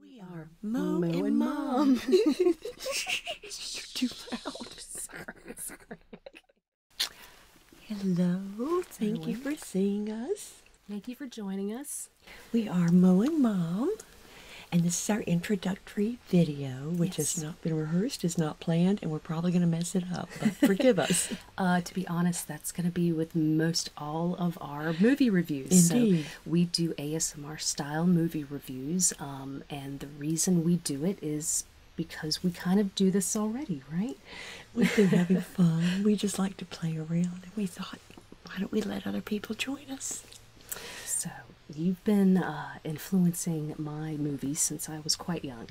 We are Mo, Mo and, Mom. You're too loud. Sorry, Hello. Thank you for seeing us. Thank you for joining us. We are Mo and Mom. And this is our introductory video, which has not been rehearsed, is not planned, and we're probably going to mess it up. But forgive us. Uh, to be honest, that's going to be with most all of our movie reviews. Indeed we do ASMR style movie reviews, um, and the reason we do it is because we kind of do this already, right? We've been having fun. We just like to play around, and we thought, why don't we let other people join us? So you've been uh, influencing my movies since I was quite young.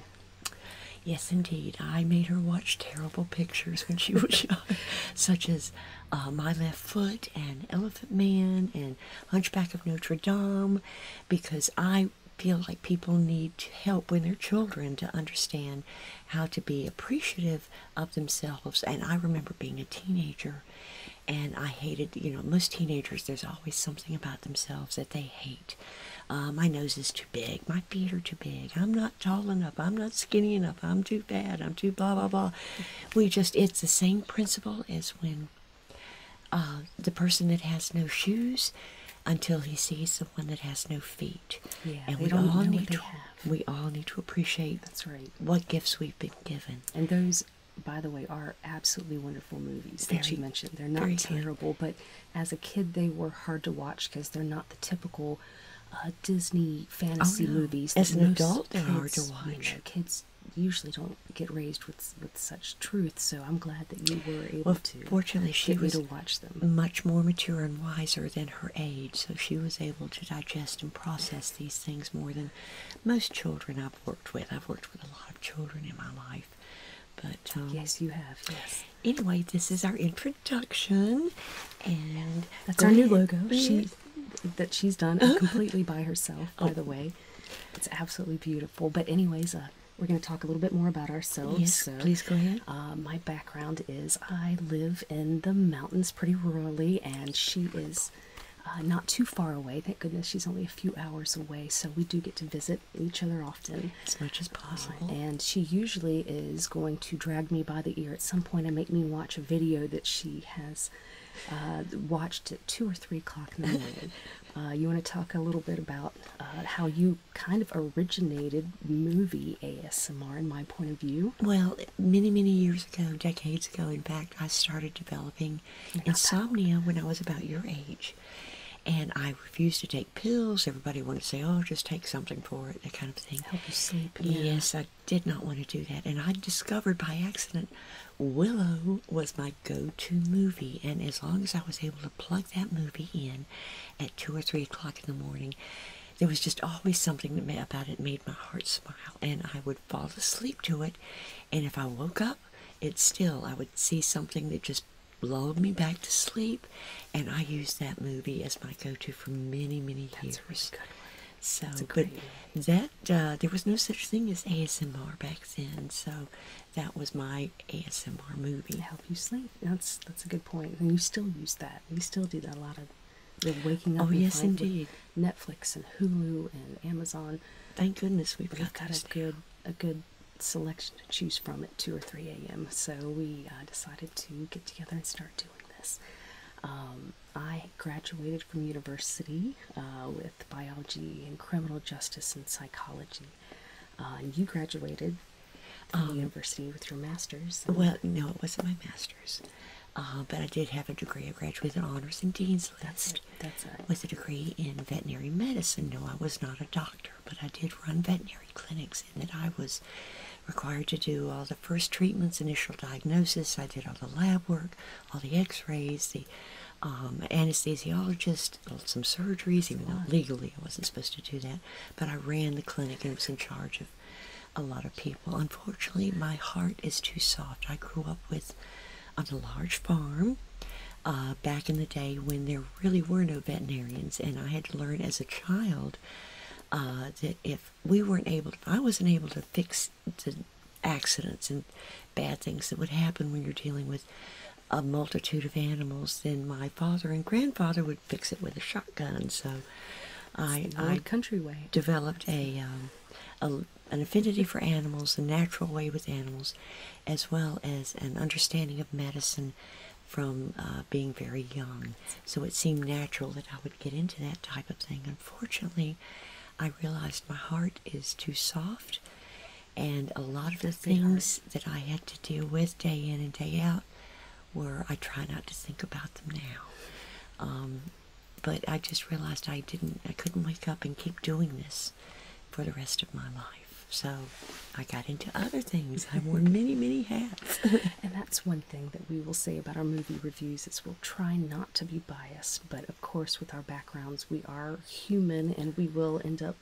Yes, indeed. I made her watch terrible pictures when she was young, such as uh, my Left Foot and Elephant Man and Hunchback of Notre Dame because I feel like people need help when their children to understand how to be appreciative of themselves. And I remember being a teenager and I hated, you know, most teenagers, there's always something about themselves that they hate. Uh, my nose is too big. My feet are too big. I'm not tall enough. I'm not skinny enough. I'm too fat. I'm too blah, blah, blah we just it's the same principle as when uh, the person that has no shoes until he sees the one that has no feet yeah, and we all need to we all need to appreciate that's right what gifts we've been given and those by the way are absolutely wonderful movies that you mentioned they're not terrible but as a kid they were hard to watch because they're not the typical uh, Disney fantasy oh, movies. As an adult, they're You know, kids usually don't get raised with with such truth, so I'm glad that you were able to. Fortunately, she was to Much more mature and wiser than her age, so she was able to digest and process these things more than most children I've worked with. I've worked with a lot of children in my life, but um, yes, you have. Yes. Anyway, this is our introduction, and that's our new logo. She that she's done completely by herself, by oh. the way. It's absolutely beautiful. But anyways, uh, we're going to talk a little bit more about ourselves. Yes, so, please go ahead. Uh, my background is I live in the mountains pretty rurally, and she is uh, not too far away. Thank goodness she's only a few hours away, so we do get to visit each other often. As much as possible. and she usually is going to drag me by the ear at some point and make me watch a video that she has uh, watched at two or three o'clock in the morning. Uh, you want to talk a little bit about uh, how you kind of originated movie ASMR, in my point of view? Well, many, many years ago, decades ago, in fact, I started developing insomnia when I was about your age. And I refused to take pills. Everybody wanted to say, oh, just take something for it, that kind of thing. Help you sleep. Yes, I did not want to do that. And I discovered by accident Willow was my go to movie. And as long as I was able to plug that movie in at two or three o'clock in the morning, there was just always something about it made my heart smile. And I would fall asleep to it. And if I woke up, it still, I would see something that just lulled me back to sleep. And I used that movie as my go to for many, many years was really good. One. So, but that uh, there was no such thing as ASMR back then, so that was my ASMR movie. Help you sleep. That's that's a good point. And you still use that. We still do that a lot of waking up. Oh yes, indeed. Netflix and Hulu and Amazon. Thank goodness we've, got, a good a good selection to choose from at two or three a.m. So we uh, decided to get together and start this. Um, I graduated from university uh, with biology and criminal justice and psychology. Uh, you graduated um, university with your master's. Well, no, it wasn't my master's. Uh, but I did have a degree. I graduated honors and dean's list. With a degree in veterinary medicine. No, I was not a doctor, but I did run veterinary clinics and that I was required to do all the first treatments, initial diagnosis. I did all the lab work, all the x-rays, the um, anesthesiologist, some surgeries, even though legally I wasn't supposed to do that. But I ran the clinic and was in charge of a lot of people. Unfortunately, my heart is too soft. I grew up with on a large farm uh, back in the day when there really were no veterinarians, and I had to learn as a child uh, that if we weren't able, to. I wasn't able to fix the accidents and bad things that would happen when you're dealing with a multitude of animals, then my father and grandfather would fix it with a shotgun. So I, I country way. developed a, um, a, an affinity for animals, a natural way with animals, as well as an understanding of medicine from uh, being very young. So it seemed natural that I would get into that type of thing. Unfortunately, I realized my heart is too soft, and a lot of the things that I had to deal with day in and day out were I try not to think about them now. Um, but I just realized I didn't, I couldn't wake up and keep doing this for the rest of my life. So I got into other things. I wore many, many hats. and that's one thing that we will say about our movie reviews is we'll try not to be biased, but of course, with our backgrounds, we are human and we will end up.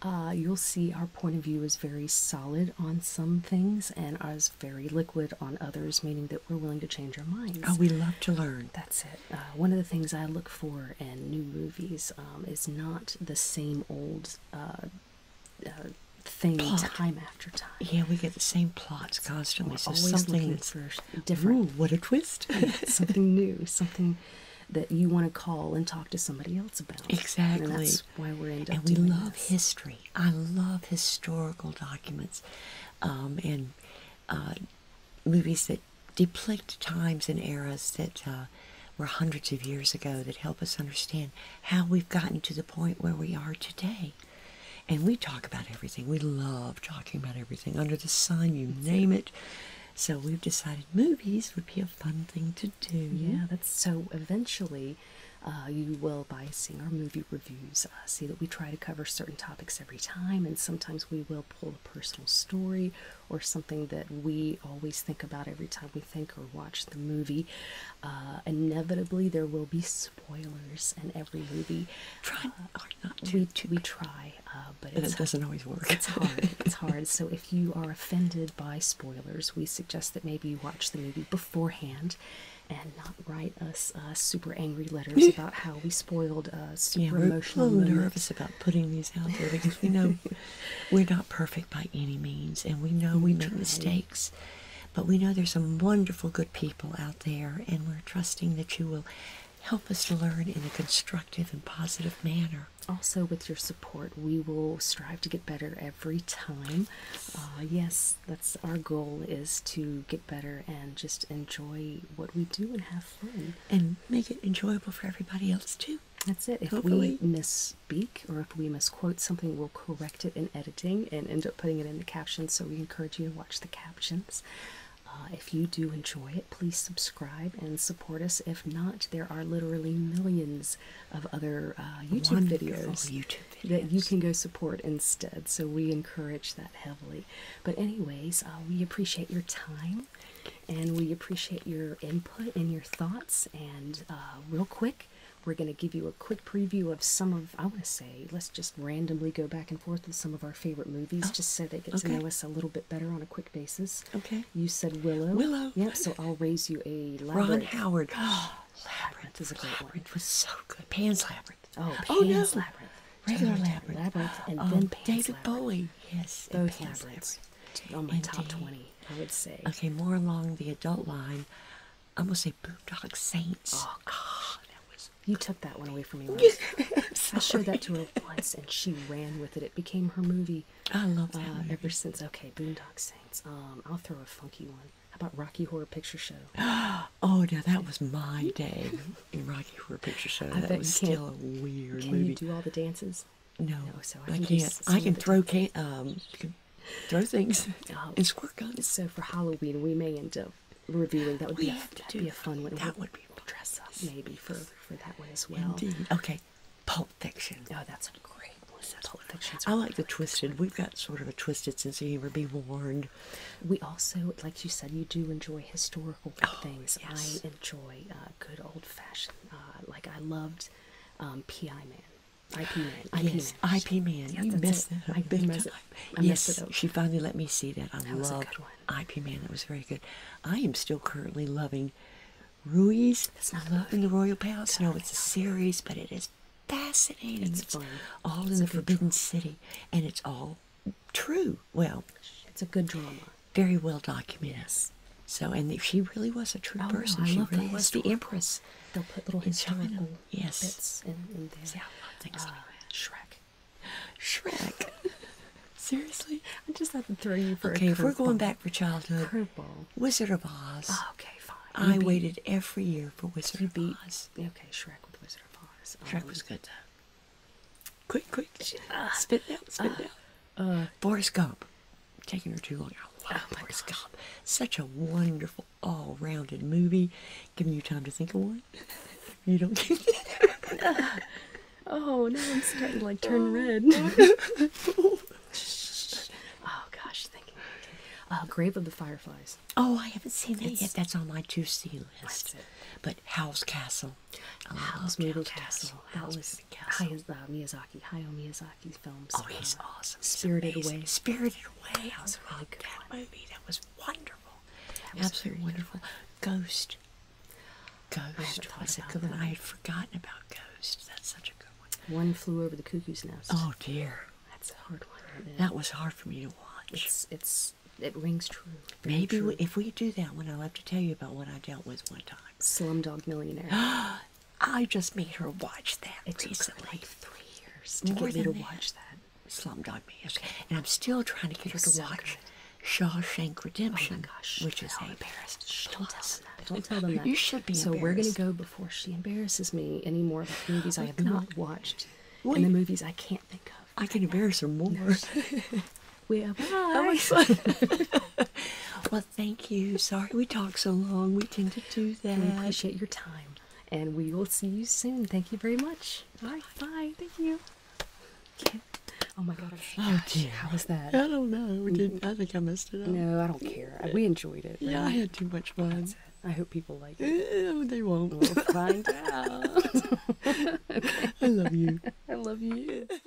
Uh, you'll see our point of view is very solid on some things and ours very liquid on others, meaning that we're willing to change our minds. Oh, we love to learn. That's it. Uh, one of the things I look for in new movies um, is not the same old uh, uh, thing time after time. Yeah, we get the same plots constantly. so always something looking for different. what a twist! something new, something that you want to call and talk to somebody else about. Exactly. And that's why we're in. And we love history. I love historical documents, um, and uh, movies that depict times and eras that uh, were hundreds of years ago that help us understand how we've gotten to the point where we are today. And we talk about everything. We love talking about everything under the sun, you name it. So we've decided movies would be a fun thing to do. Yeah, that's so eventually uh, you will, by seeing our movie reviews, uh, see that we try to cover certain topics every time. And sometimes we will pull a personal story or something that we always think about every time we think or watch the movie. Uh, inevitably, there will be spoilers in every movie. Trying, uh, not to. We, try, uh, but it doesn't always work. It's hard. It's hard. so if you are offended by spoilers, we suggest that maybe you watch the movie beforehand and not write us super angry letters about how we spoiled uh, super yeah, we're emotional. A little nervous about putting these out there because we know we're not perfect by any means, and we know we make mistakes. But we know there's some wonderful good people out there, and we're trusting that you will help us learn in a constructive and positive manner. Also, with your support, we will strive to get better every time. Uh, yes, that's our goal is to get better and just enjoy what we do and have fun. And make it enjoyable for everybody else, too. That's it. If we miss misspeak or if we misquote something, we'll correct it in editing and end up putting it in the captions. So we encourage you to watch the captions. Uh, if you do enjoy it, please subscribe and support us. If not, there are literally millions of other uh, YouTube, videos that you can go support instead. So we encourage that heavily. But, anyways, uh, we appreciate your time and we appreciate your input and your thoughts. And, real quick, we're going to give you a quick preview of some of, I want to say, let's just randomly go back and forth with some of our favorite movies oh, just so they get to know us a little bit better on a quick basis. Okay. You said Willow. Willow. Yeah. so I'll raise you a Labyrinth. Ron Howard. Oh, Labyrinth is a great Labyrinth one. was so good. Pan's Labyrinth. Oh, oh Pan's oh, no. Labyrinth. Regular Labyrinth. Labyrinth and oh, then David Bowie. Yes. Both Pan's Labyrinths. Labyrinth. On my top 20, I would say. Okay, more along the adult line. I'm gonna say Boondock Saints. Oh God, that was. You took that one away from me. I showed that to her once, and she ran with it. It became her movie. I love that. Uh, ever since, okay, Boondock Saints. Um, I'll throw a funky one. How about Rocky Horror Picture Show? oh, yeah, that was my day in Rocky Horror Picture Show. that was still a weird can movie. Can you do all the dances? No, so I, can not I can throw can, um, throw things um, oh. and squirt guns. So for Halloween, we may end up reviewing. That would we be that would be a fun one. That would be dress up maybe for for that one as well. Indeed. Okay, Pulp Fiction. Oh, that's a great one. Pulp Fiction. I like the twisted. We've got sort of a twisted since you humor. Be warned. We also, like you said, you do enjoy historical oh, things. I enjoy uh, good old fashioned. Uh, like I loved um, P.I. Man. IP man. IP yes, man. IP man. Yes, you missed that. I big missed time. yes, she finally let me see that. I that love IP man. That was very good. I am still currently loving Rui's Love in the Royal Palace. no, it's a series, but it is fascinating. It's, all in the Forbidden City, and it's all true. Well, it's a good drama. Very well documented. So, and if she really was a true oh, person. she really was the empress. They'll put little historical yes. bits in, in there. See, I love things uh, like ah. that. Shrek. Shrek. Seriously? I just had to throw you for okay, a Okay, we're going back for childhood, curveball. Wizard of Oz. Ah, okay, fine. I waited every year for Wizard of Oz. Okay, Shrek with Wizard of Oz. Um, Shrek was good, though. Quick, quick. Uh, spit it out, spit it uh, out. Uh, Boris taking her too long. oh my God! Such a wonderful, all-rounded movie. Giving you time to think of one. you don't. Get it. oh no! I'm starting to like turn oh, red. oh gosh, thinking. Uh, Grave of the Fireflies. Oh, I haven't seen that yet. That's on my to-see list. But Howl's Castle. Howl's Castle. Castle. That was House. Hayao, uh, Miyazaki. films. Oh, he's uh, awesome. Spirited Away. Spirited Away. I was really that movie. That was wonderful. Absolutely wonderful. Ghost. Ghost was a good one. I had forgotten about Ghost. That's such a good one. One flew over the cuckoo's nest. Oh dear. That's a hard one. That was hard for me to watch. It's it's it rings true. Maybe if we do that one, I'll have to tell you about what I dealt with one time. Slumdog Millionaire. I just made her watch that it recently. Took like three years to More get me to watch that. Slumdog on and I'm still trying to get her to watch Shawshank Redemption, oh gosh, which is a embarrassed. Don't tell them that. Don't tell them that. You should be. So we're gonna go before she embarrasses me any more of the movies I have not watched, and the movies I can't think of. I can embarrass her more. No. we thank you. Sorry we talked so long. We tend to do that. We appreciate your time. And we will see you soon. Thank you very much. Bye. Bye. Thank you. Oh my god. Oh, dear. How was that? I don't know. I think I messed it up. No, I don't care. We enjoyed it. Yeah, I had too much fun. I hope people like it. Uh, they won't. We'll find out. I love you. I love you.